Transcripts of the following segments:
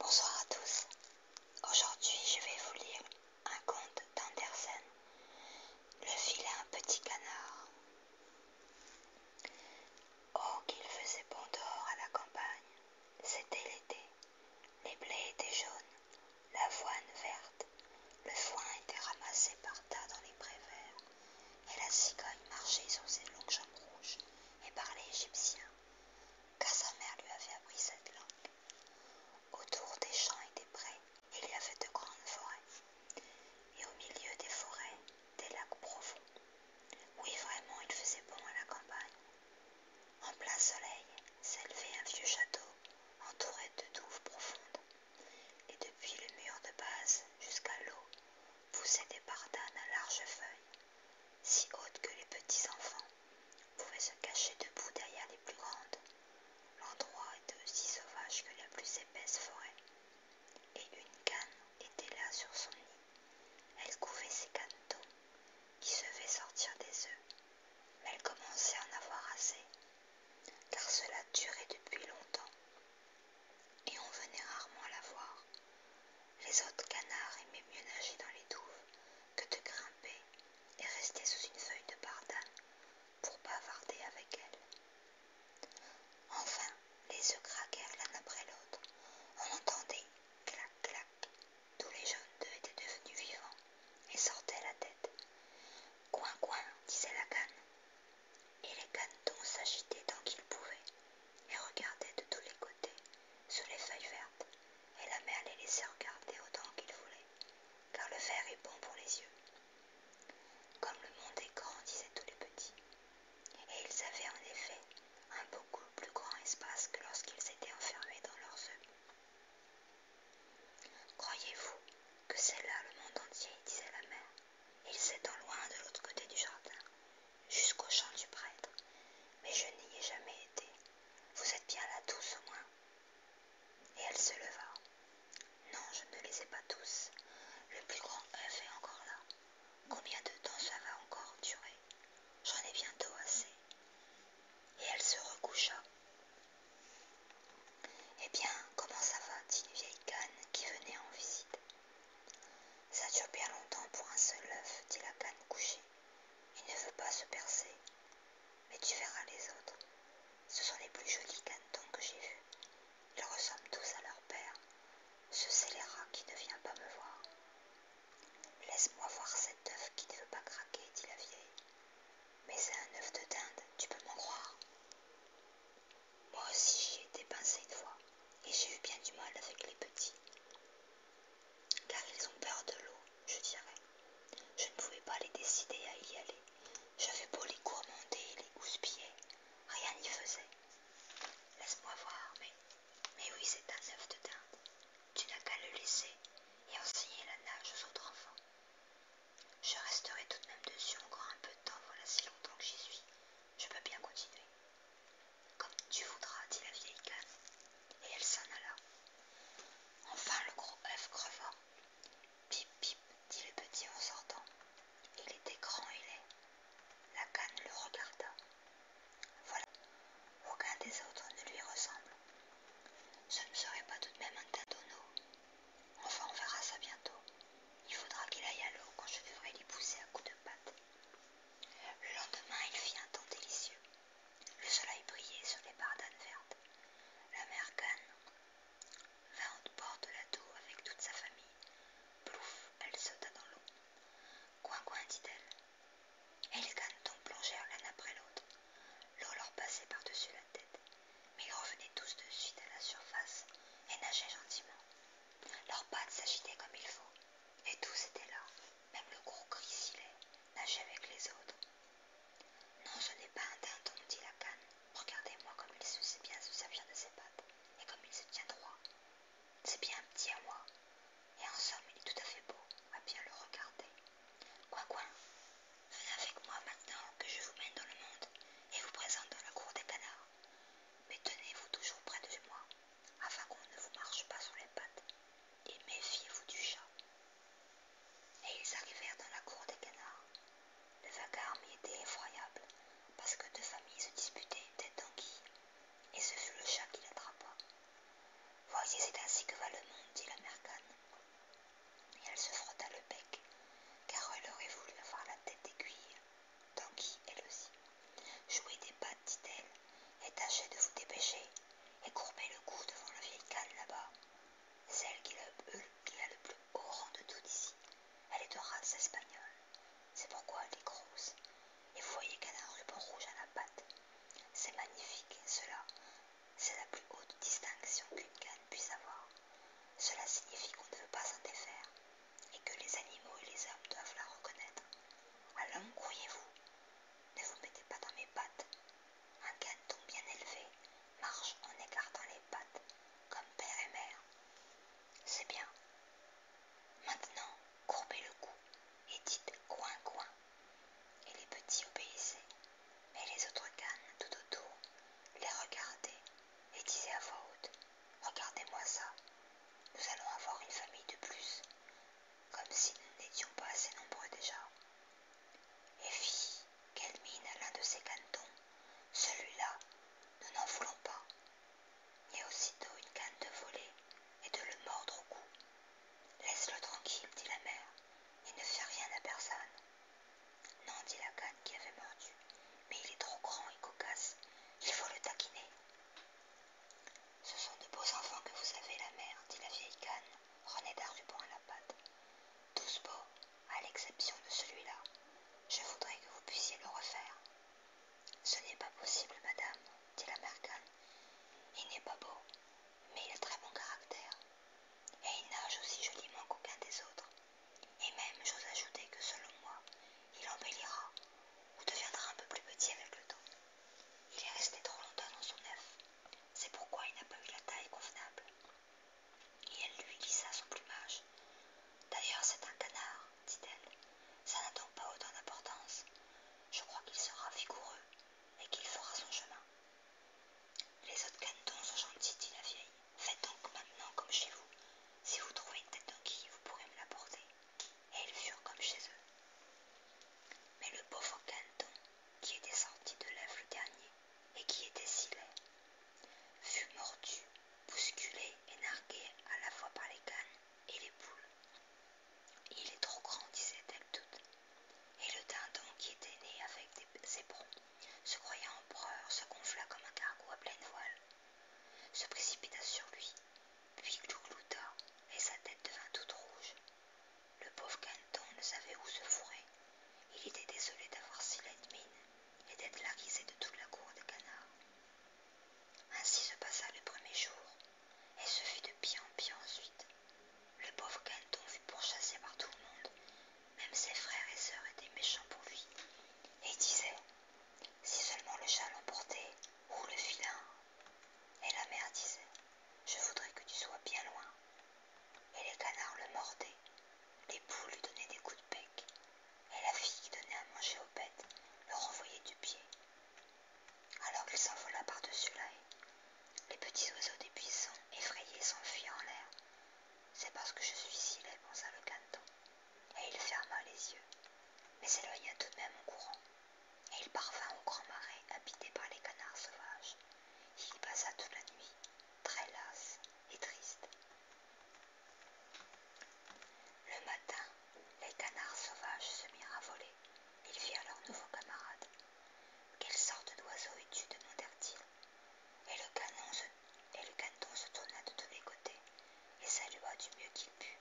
Bonsoir à tous. Aujourd'hui, je vais vous lire un conte d'Andersen, Le un petit canard. Oh, qu'il faisait bon dehors à la campagne. C'était l'été. Les blés étaient jaunes, l'avoine verte, le foin était ramassé par tas dans les prés verts, et la cigogne marchait sur ses longues jambes rouges et parlait égyptien car sa mère lui avait appris cette langue. Autour des champs et des prés, il y avait de grandes forêts, et au milieu des forêts, des lacs profonds. Oui, vraiment, il faisait bon à la campagne. En plein soleil s'élevait un vieux château entouré de douves profondes, et depuis le mur de base jusqu'à l'eau poussaient des bardanes à larges feuilles si haute que les petits enfants pouvaient se cacher debout derrière les plus grandes. L'endroit était aussi sauvage que la plus épaisse forêt. Et une canne était là sur son nid. Elle couvait ses d'eau qui se faisaient sortir des œufs. Mais elle commençait à en avoir assez, car cela durait depuis longtemps. Et on venait rarement la voir. Les autres canards aimaient mieux nager dans les douves que de grimper et rester sous une feuille de bardane pour bavarder avec elle. Enfin, les œufs craquèrent l'un après l'autre. On entendait clac clac. Tous les jeunes d'eux étaient devenus vivants et sortaient la tête. Coin coin, disait la canne. Et les canetons s'agitaient tant qu'ils pouvaient et regardaient de tous les côtés sur les feuilles vertes, et la mère les laissait regarder autant qu'ils voulaient, car le verre est bon pour les yeux. Comme le monde est grand, disaient tous les petits. Et ils avaient en effet un beaucoup plus grand espace que lorsqu'ils étaient enfermés dans leurs œufs. Croyez-vous que c'est là le monde entier, disait la mère. Il en loin de l'autre côté du jardin, jusqu'au chant du prêtre, mais je n'y ai jamais été. Vous êtes bien là tous au moins. Et elle se leva. Non, je ne les ai pas tous. Le plus grand œuf est encore là. Combien de temps ça va encore durer J'en ai bientôt assez. Et elle se recoucha. Eh bien, comment ça va dit une vieille canne qui venait en visite. Ça dure bien longtemps pour un seul œuf, dit la canne couchée. Il ne veut pas se percer, mais tu verras les autres. Ce sont les plus jolis cantons que j'ai vus. Ils ressemblent tous à leur père, ce scélérat qui ne vient pas me voir. Laisse-moi voir cet œuf qui ne veut pas craquer, dit la vieille. Mais c'est un œuf de dinde, tu peux m'en croire. Moi aussi j'y ai été une fois, et j'ai eu bien du mal avec les petits car ils ont peur de l'eau, je dirais. Je ne pouvais pas les décider à y aller. J'avais beau les gourmander les houspiller, rien n'y faisait. Laisse-moi voir, mais, mais oui, c'est un œuf de dinde. Tu n'as qu'à le laisser et enseigner la nage aux autres enfants. Je resterai tout de même dessus encore un peu de temps, voilà si longtemps que j'y suis. Je peux bien continuer. Comme tu voudras, dit la vieille canne, et elle s'en alla. Enfin le gros œuf creva. Pip, pip, dit le petit en sortant. Il était grand et laid. La canne le regarda. Voilà, aucun des autres ne lui ressemble. Ce ne serait pas tout de même un tâtonneau. Enfin, on verra ça bientôt. Il faudra qu'il aille à l'eau quand je devrai l'y pousser à coups de patte. Le lendemain, il fit un temps délicieux. Le soleil brillait sur les bardanes vertes. La mère Cannes vint au bord de la avec toute sa famille. Plouf, elle sauta dans l'eau. Coin, coin, dit-elle. Et les tombent plongèrent l'un après l'autre. L'eau leur passait par-dessus la tête, mais ils revenaient tous de suite à la surface et nageaient gentiment. Leurs pattes s'agitaient comme il faut, et tous étaient là, même le gros est, nage avec les autres. Non, ce n'est pas un dindon, dit la canne. Regardez-moi comme il se sait bien se servir de ses pattes et comme il se tient droit. C'est bien un petit à moi. Et en somme, il est tout à fait beau, à bien le regarder. Quoi, quoi Venez avec moi maintenant que je vous mène dans le monde et vous présente dans la cour des canards. Mais tenez-vous toujours près de moi, afin qu'on ne vous marche pas sur les pattes et méfiez-vous du chat. Et ils arrivèrent dans la cour des canards. Le vacarme y était effroyable, parce que deux familles se disputaient tête d'anguille, et ce fut le chat qui l'attrapa. Voyez, c'est ainsi que va le monde, dit la mère Et elle se frotta le bec, car elle aurait voulu avoir la tête d'aiguille. d'anguille, elle aussi, Jouez des pattes, dit-elle, et tâchez de vous dépêcher et courbez le cou devant la vieille canne là-bas. Celle qui, le, qui a le plus haut rang de tout d'ici. elle est de race espagnole. C'est pourquoi elle est grosse. Et voyez qu'elle a un ruban rouge à la patte. C'est magnifique, cela. C'est la plus haute distinction qu'une canne puisse avoir. Cela signifie qu'on ne veut pas s'en défaire et que les animaux et les hommes doivent la reconnaître. Alors, couillez vous ne vous mettez pas dans mes pattes. Un gagne-tout bien élevé marche en écartant les pattes, comme père et mère. C'est bien. Maintenant, courbez le cou et dites coin coin. Et les petits obéissaient, mais les autres cannes tout autour les regardaient et disaient à voix haute Regardez-moi ça. Nous allons avoir une famille de plus comme si nous n'étions pas assez nombreux déjà. Et fille, quelle mine à l'un de ces cantons, celui-là, nous n'en voulons pas. Et aussitôt une canne de voler et de le mordre au cou. Laisse-le tranquille, dit la mère, et ne fais rien à personne. Non, dit la canne qui avait mordu, mais il est trop grand et cocasse, il faut le taquiner. Ce sont de beaux enfants que vous avez, la mère, dit la vieille canne, René Darubon à la patte. Tous beaux, à l'exception de celui-là. Je voudrais que vous puissiez le refaire. Ce n'est pas possible, madame, dit la mère canne. Il n'est pas beau, mais il a très bon caractère. Et il nage aussi joliment qu'aucun des autres. Et même, j'ose ajouter que selon moi, il embellira ou deviendra un peu plus petit avec le temps. Il est resté trop longtemps dans son œuf. C'est pourquoi il n'a pas eu la taille convenable. Et elle lui lissa son plumage. D'ailleurs, c'est un canard, dit-elle. Ça n'a donc pas autant d'importance. Je crois qu'il sera vigoureux et qu'il fera son chemin. Les autres canetons sont gentils, dit la vieille. Faites donc maintenant comme chez vous. Si vous trouvez une tête qui vous pourrez me la porter. Et ils furent comme chez eux. Mais le pauvre Canton, qui était sorti de l'œuf le dernier et qui était si laid, fut mordu, bousculé et nargué à la fois par les cannes et les poules. Il est trop grand, disait-elle toutes. Et le dindon qui était né avec des éperons, se croyant empereur, se gonfla comme un cargo à pleine voile, se précipita sur lui, puis glouglouta et sa tête devint toute rouge. Le pauvre Canton ne savait où se fourrer. Il était désolé d'avoir si laide mine et d'être risée de toute la cour des canards. Ainsi se passa le premier jour, et ce fut de pis en pis ensuite. Le pauvre Canton fut pourchassé par tout le monde, même ses frères et sœurs étaient méchants pour lui, et disaient Si seulement le chat l'emportait, ou le filin, et la mère disait Je voudrais que tu sois bien loin. Et les canards le mordaient, les poules lui donnaient des coups de bec, et la fille qui donnait à manger aux bêtes le renvoyait du pied. Alors il s'envola par-dessus la haie. Les petits oiseaux des buissons, effrayés, s'enfuient en l'air. C'est parce que je suis laid pensa le canton, et il ferma les yeux, mais s'éloigna tout de même en courant et il parvint au grand marais habité par les canards sauvages. Il y passa toute la nuit, très las et triste. Le matin, les canards sauvages se mirent à voler. Ils virent leurs nouveaux camarade. Quelle sorte d'oiseau es-tu demandèrent-ils. Et le canon se tourna de tous les côtés et salua du mieux qu'il put.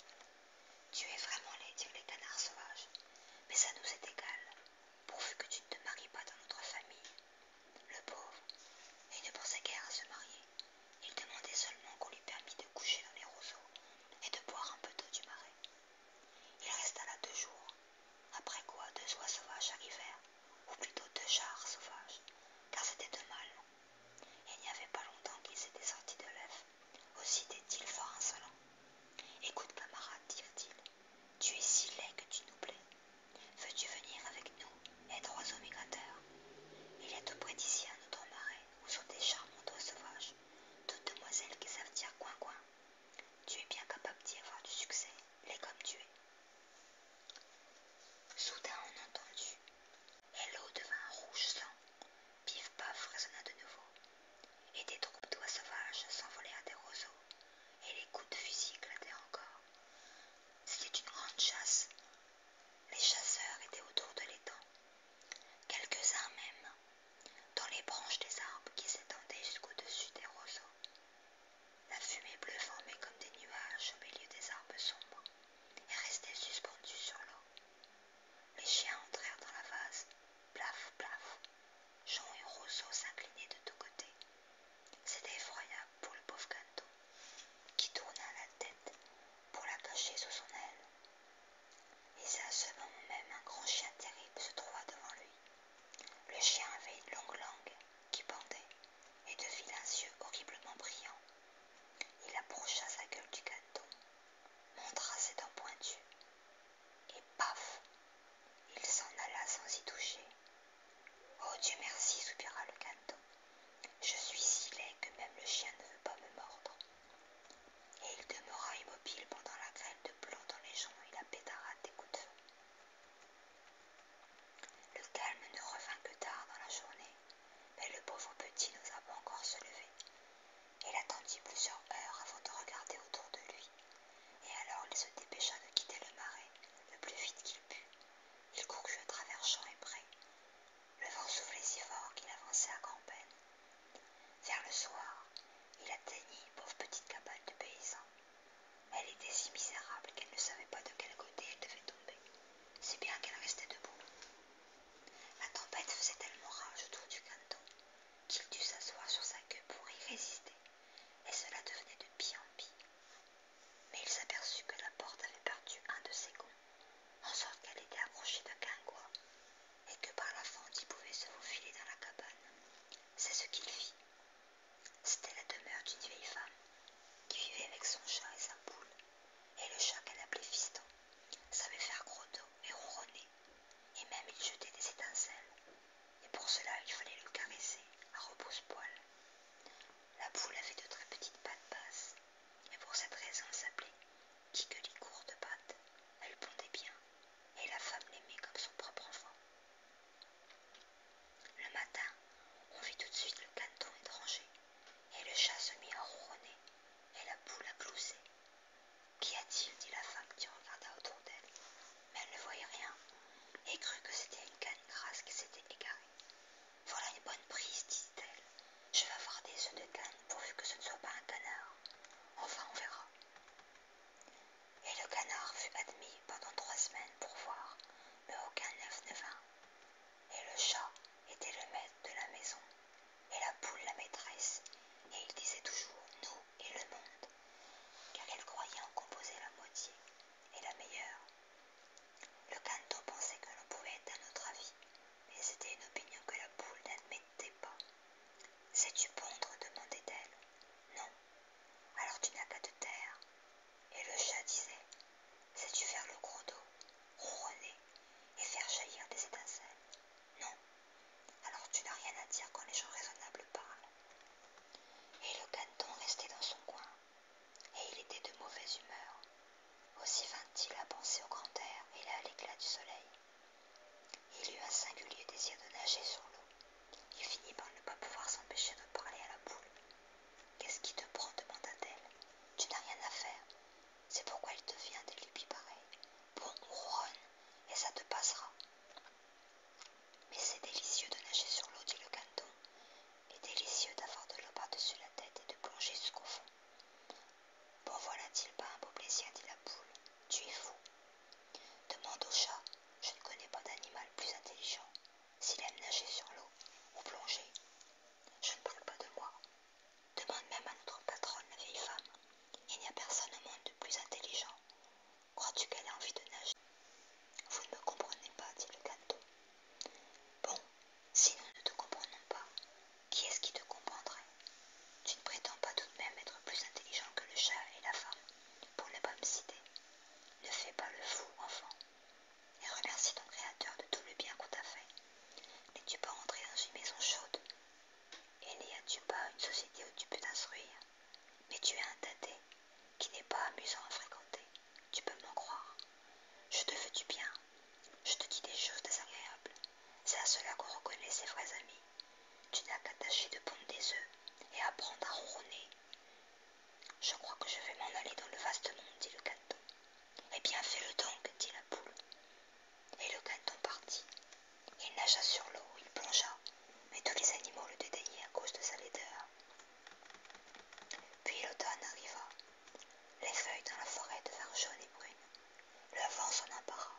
Tu es vraiment laid, dirent les canards sauvages, mais ça nous est égal pourvu que tu ne te maries pas dans notre famille. Le pauvre, il ne pensait guère à se marier. Il demandait seulement qu'on lui permît de coucher dans les roseaux et de boire un peu d'eau du marais. Il resta là deux jours, après quoi deux oies sauvages arrivèrent, ou plutôt deux chars sauvages, car c'était deux mâles. Il n'y avait pas longtemps qu'ils étaient sortis de l'œuf, aussi étaient-ils fort insolent. Écoute, camarade, dirent-ils, tu es si laid que tu nous plais. Veux-tu venir avec nous, être oiseau migrateur Il y a tout près d'ici un autre marais où sont des charmants oiseaux sauvages, toutes demoiselles qui savent dire coin-coin. Tu es bien capable d'y avoir du succès, laid comme tu es. Soudain on entendit. Et l'eau devint rouge sang. Pif paf résonna de nouveau et des troupes d'oies sauvages s'envolèrent à des roseaux, et les coups de fusil éclataient encore. C'était une grande chasse. Les chasseurs étaient autour de l'étang, quelques-uns même, dans les branches des arbres qui s'étendaient jusqu'au-dessus des roseaux. La fumée bleue formait comme des nuages au milieu des arbres sombres et restait suspendue sur l'eau. Les chiens entrèrent dans la vase, plaf, plaf, Jean et Rousseau s'inclinaient de tous côtés. C'était effroyable pour le pauvre gâteau qui tourna la tête pour la cacher sous son aile. Et à ce moment même un grand chien terrible se trouva devant lui. Le chien avait une longue langue qui pendait et de un yeux horriblement brillant. Il approcha sa gueule du gâteau, montra ses dents pointues et paf Il s'en alla sans y toucher. Oh Dieu merci, soupira le canton. Je suis si laid que même le chien ne veut pas me mordre. Et il demeura immobile pendant la grêle de plomb dans les jambes et la pétarade des coups de feu. Le calme ne revint que tard dans la journée, mais le pauvre petit n'osa pas encore se lever, il attendit plusieurs heures avant de regarder autour de lui, et alors il se dépêcha de quitter le marais le plus vite qu'il put. Il courut à travers champs et prés. Le vent soufflait si fort qu'il avançait à grand-peine. Vers le soir, il atteignit une pauvre petite cabane de paysan. Elle était si misérable qu'elle ne savait pas de quel côté elle devait tomber, si bien qu'elle restait debout. La tempête faisait tellement rage autour du canton qu'il dut s'asseoir sur sa queue pour y résister, et cela devenait de pis en pis. Mais il s'aperçut que la porte avait perdu un de ses gonds, en sorte qu'elle était accrochée d'un guingois, et que par la fente il pouvait se faufiler dans la cabane. C'est ce qu'il fit. C'était la demeure d'une vieille femme, qui vivait avec son chat et sa poule, et le chat qu'elle appelait Fiston savait faire gros et ronronner, et même il jetait des étincelles, et pour cela il fallait le caresser à repose-poil. La poule avait de très petites pattes basses, et pour cette raison s'appelait court de pattes. Elle pondait bien, et la femme l'aimait comme son propre enfant. Le matin, on vit tout de suite le canton étranger, et le chat se mit à ronronner, et la poule à glousser. Qu'y a-t-il dit la femme qui regarda autour d'elle, mais elle ne voyait rien et crut que c'était une canne grasse qui s'était égarée. Voilà une bonne prise, dit-elle. Je vais avoir des œufs de canne pourvu que ce ne soit pas un canard. Enfin, on verra. Et le canard fut admis pendant trois semaines pour voir, mais aucun œuf ne vint. Et le chat était le maître de la maison, et la poule la maîtresse, et il disait toujours nous et le monde car elle croyait en composer la moitié et la meilleure. Le canto pensait que l'on pouvait être à notre avis, mais c'était une opinion que la boule n'admettait pas. Sais-tu pondre demandait-elle. Non. Alors tu n'as qu'à te taire. Et le chat disait Sais-tu faire le gros dos, ronronner et faire jaillir des étincelles Non. Alors tu n'as rien à dire quand les gens raisonnables parlent. Et le caneton restait dans son coin, et il était de mauvaise humeur. Aussi vint-il à penser au grand air et à l'éclat du soleil. Il eut un singulier désir de nager sur l'eau. Il finit par ne pas pouvoir s'empêcher de parler à la poule. Qu'est-ce qui te prend demanda-t-elle. Tu n'as rien à faire. C'est pourquoi il te vient des lubies pareilles. Bon, ronne, et ça te passera. Mais c'est délicieux de nager sur l'eau, dit le canton, et délicieux d'avoir de l'eau par-dessus la tête et de plonger jusqu'au fond. Bon, voilà-t-il pas un beau plaisir, dit la poule. Tu es fou. Demande au chat, je ne connais pas d'animal plus intelligent, s'il aime nager sur l'eau ou plonger. Je ne parle pas de moi. Demande même à notre patronne, la vieille femme. Il n'y a personne au monde de plus intelligent. Crois-tu qu'elle a envie de nager Vous ne me comprenez pas, dit le gâteau. Bon, si nous ne te comprenons pas, qui est-ce qui te comprendrait Tu ne prétends pas tout de même être plus intelligent que le chat et la femme, pour ne pas me citer. Ne fais pas le fou, enfant, et remercie ton créateur de tout le bien qu'on t'a fait. N'es-tu pas rentré dans une maison chaude Et n'y as-tu pas une société où tu peux t'instruire mais tu es un taté qui n'est pas amusant à fréquenter, tu peux m'en croire. Je te fais du bien, je te dis des choses désagréables. C'est à cela qu'on reconnaît ses vrais amis. Tu n'as qu'à tâcher de pondre des œufs et apprendre à ronronner. Je crois que je vais m'en aller dans le vaste monde, dit le caneton. Eh bien, fais-le donc, dit la poule. Et le caneton partit. Il nagea sur l'eau, il plongea, mais tous les animaux le dédaignaient à cause de sa laideur. Puis l'automne arriva. Les feuilles dans la forêt devinrent jaunes et brunes. Le vent s'en empara.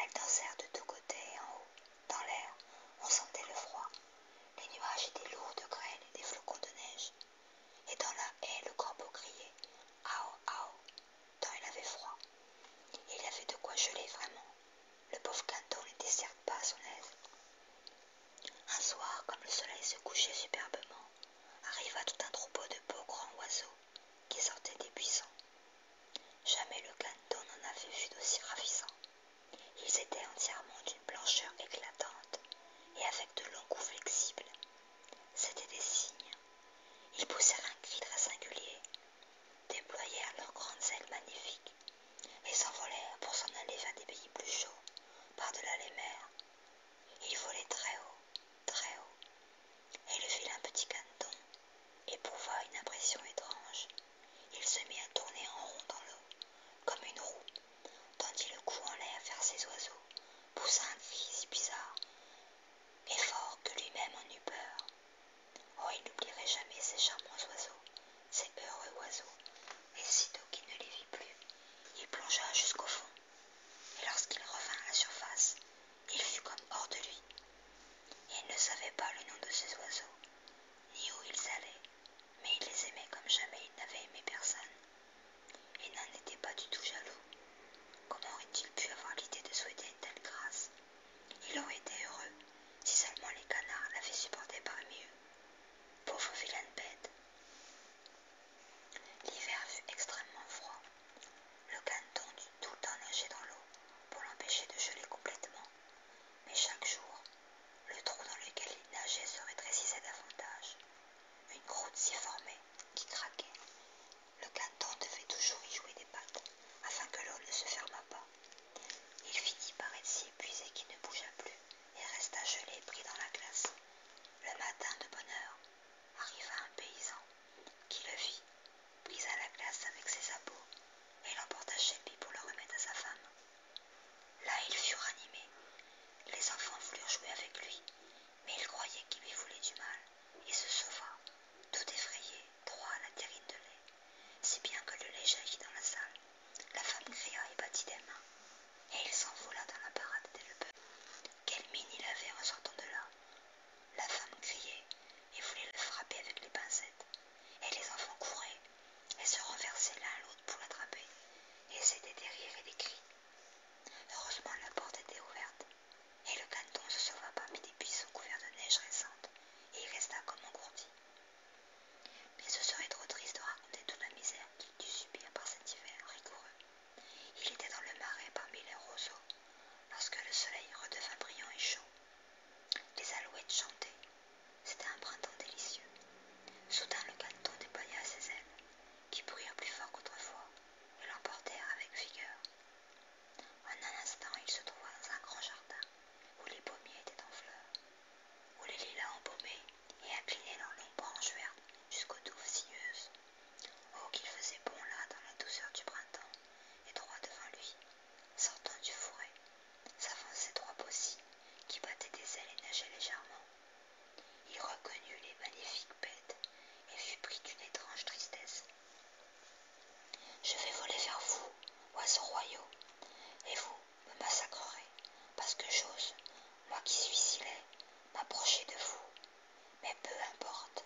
Elles dansèrent de tous côtés et en haut, dans l'air, on sentait le froid. Les nuages étaient lourds de grêle et des flocons de neige. Et dans la haie, le corbeau criait Ao, ao, tant il avait froid. Il avait de quoi geler vraiment. Le pauvre canton ne déserte pas à son aise. Un soir, comme le soleil se couchait superbement, arriva tout un troupeau de beaux grands oiseaux qui sortaient des buissons. Jamais le canton n'en avait vu d'aussi ravissants. Ils étaient entièrement d'une blancheur éclatante et avec de longs coups flexibles. C'étaient des cygnes. Ils poussèrent un cri très singulier déployèrent leurs grandes ailes magnifiques et s'envolèrent pour s'en aller vers des pays plus chauds, par-delà les mers. Ils volaient très haut, très haut. et le fil un petit caneton, éprouva une impression étrange. Il se mit à tourner en rond dans l'eau, comme une roue, tendit le cou en l'air vers ses oiseaux, poussa un cri si bizarre et fort que lui-même en eut peur. Oh, il n'oublierait jamais ces charmants oiseaux, ces heureux oiseaux, et sitôt qu'il ne les vit plus, il plongea jusqu'au fond, et lorsqu'il revint à la surface, il fut comme hors de lui. Il ne savait pas le nom de ces oiseaux, ni où ils allaient, mais il les aimait comme jamais il n'avait aimé personne. Il n'en était pas du tout jaloux. Comment aurait-il pu avoir l'idée de souhaiter une telle grâce ils aurait été heureux, si seulement les canards l'avaient supporté parmi eux. Pauvre vilaine bête. L'hiver fut extrêmement froid. Le canton dut tout le temps nager dans l'eau pour l'empêcher de geler complètement. Mais chaque jour, le trou dans lequel il nageait se rétrécissait davantage. Une croûte s'y formait, qui craquait. Le canton devait toujours y jouer des pattes, afin que l'eau ne se fermât pas. Il finit par être si épuisé qu'il ne bougea plus et resta gelé pris dans la glace. Le matin de bonne heure arriva un paysan qui le vit, à la glace avec ses sabots et l'emporta chez lui pour le remettre à sa femme. Là il fut animés. Les enfants voulurent jouer avec lui, mais il croyait qu'il lui voulait du mal et se sauva, tout effrayé, la terrine de lait, si bien que le lait jaillit dans la salle. La femme cria et battit des mains, et il s'envola dans la parade des peuple. Quelle mine il avait en sortant de là La femme criait et voulait le frapper avec les pincettes, et les enfants couraient et se renversaient l'un à l'autre pour l'attraper, et c'était des rires et des cris. Heureusement, la porte était ouverte, et le canton se sauva parmi des buissons couverts de neige récente, et il resta comme engourdi. Mais ce serait trop triste de raconter toute la misère qu'il dut subir par cet hiver rigoureux. Il était dans le marais parmi les roseaux, lorsque le soleil redevint brillant et chaud. Les alouettes chantaient. C'était un printemps délicieux. Soudain le canton déploya ses ailes, qui brûlèrent plus fort qu'autrefois, et l'emportèrent avec vigueur. En un instant il se trouva dans un grand jardin, où les pommiers étaient en fleurs, où les lilas embaumaient et inclinaient leurs longues branches vertes jusqu'aux douves sinueuses. Oh, qu'il faisait bon là dans la douceur du printemps, et droit devant lui, sortant du fourré, s'avançaient trois possies qui battaient des ailes et nageaient légèrement. Il reconnut les magnifiques bêtes et fut pris d'une étrange tristesse. Je vais voler vers vous, oiseaux royaux, et vous me massacrerez, parce que j'ose, moi qui suis si laid, m'approcher de vous. Mais peu importe,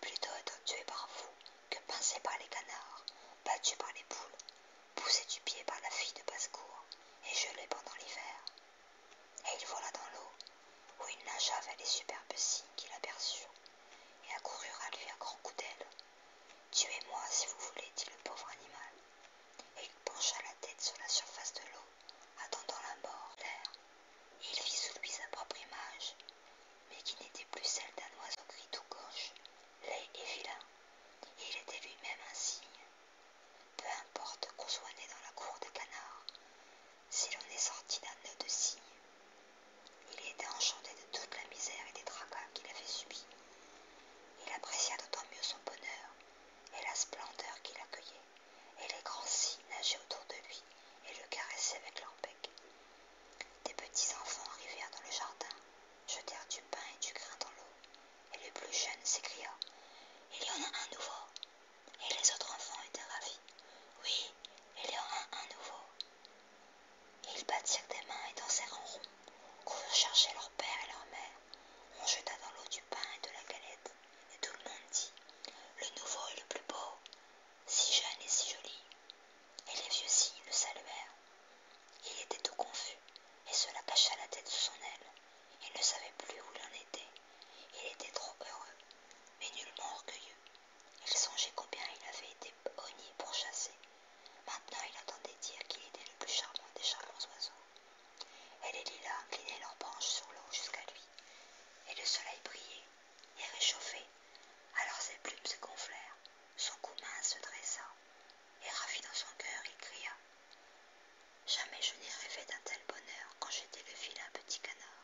plutôt être tué par vous que pincé par les canards, battu par les poules, poussé du pied par la fille de basse-cour, et gelé pendant l'hiver. Et il vola dans l'eau, où il nagea vers les superbes cygnes qu'il aperçut, et accourut à lui à grands coups d'aile. Tuez-moi si vous voulez, dit le pauvre animal. Et il pencha la tête sur la surface de l'eau, attendant la mort, l'air. Il vit sous lui sa propre image, mais qui n'était plus celle d'un oiseau gris tout gauche, laid et vilain. Et il était lui-même un signe. Peu importe qu'on soit né dans la cour des canards, si l'on est sorti d'un nœud de cygne. Il était enchanté de toute la misère et des tracas qu'il avait subis. Il apprécia d'autant mieux son bonheur et la splendeur qui accueillait, et les grands cygnes nageaient autour de lui et le caressaient avec leur bec. Des petits enfants arrivèrent dans le jardin, jetèrent du pain et du grain dans l'eau, et le plus jeune s'écria Il y en a un nouveau Et les autres enfants étaient ravis Oui, il y en a un nouveau ils battirent des mains et dansèrent en rond, coururent chercher leur père et leur mère. On jeta dans l'eau du pain et de la galette, et tout le monde dit Le nouveau est le plus beau, si jeune et si joli. Et les vieux cygnes le saluèrent. Il était tout confus, et cela cacha la tête sous son aile. Il ne savait plus où il en était. Il était trop heureux, mais nullement orgueilleux. Il songeait combien il avait été au nid pour chasser. Maintenant, il entendait dire qu'il était le plus charmant des charmants oiseaux. Et les lilas inclinaient leurs branches sur l'eau jusqu'à lui. Et le soleil brillait et réchauffait. Alors ses plumes se gonflèrent, son cou mince se dressa. Et ravi dans son cœur, il cria Jamais je n'ai rêvé d'un tel bonheur quand j'étais le d'un petit canard.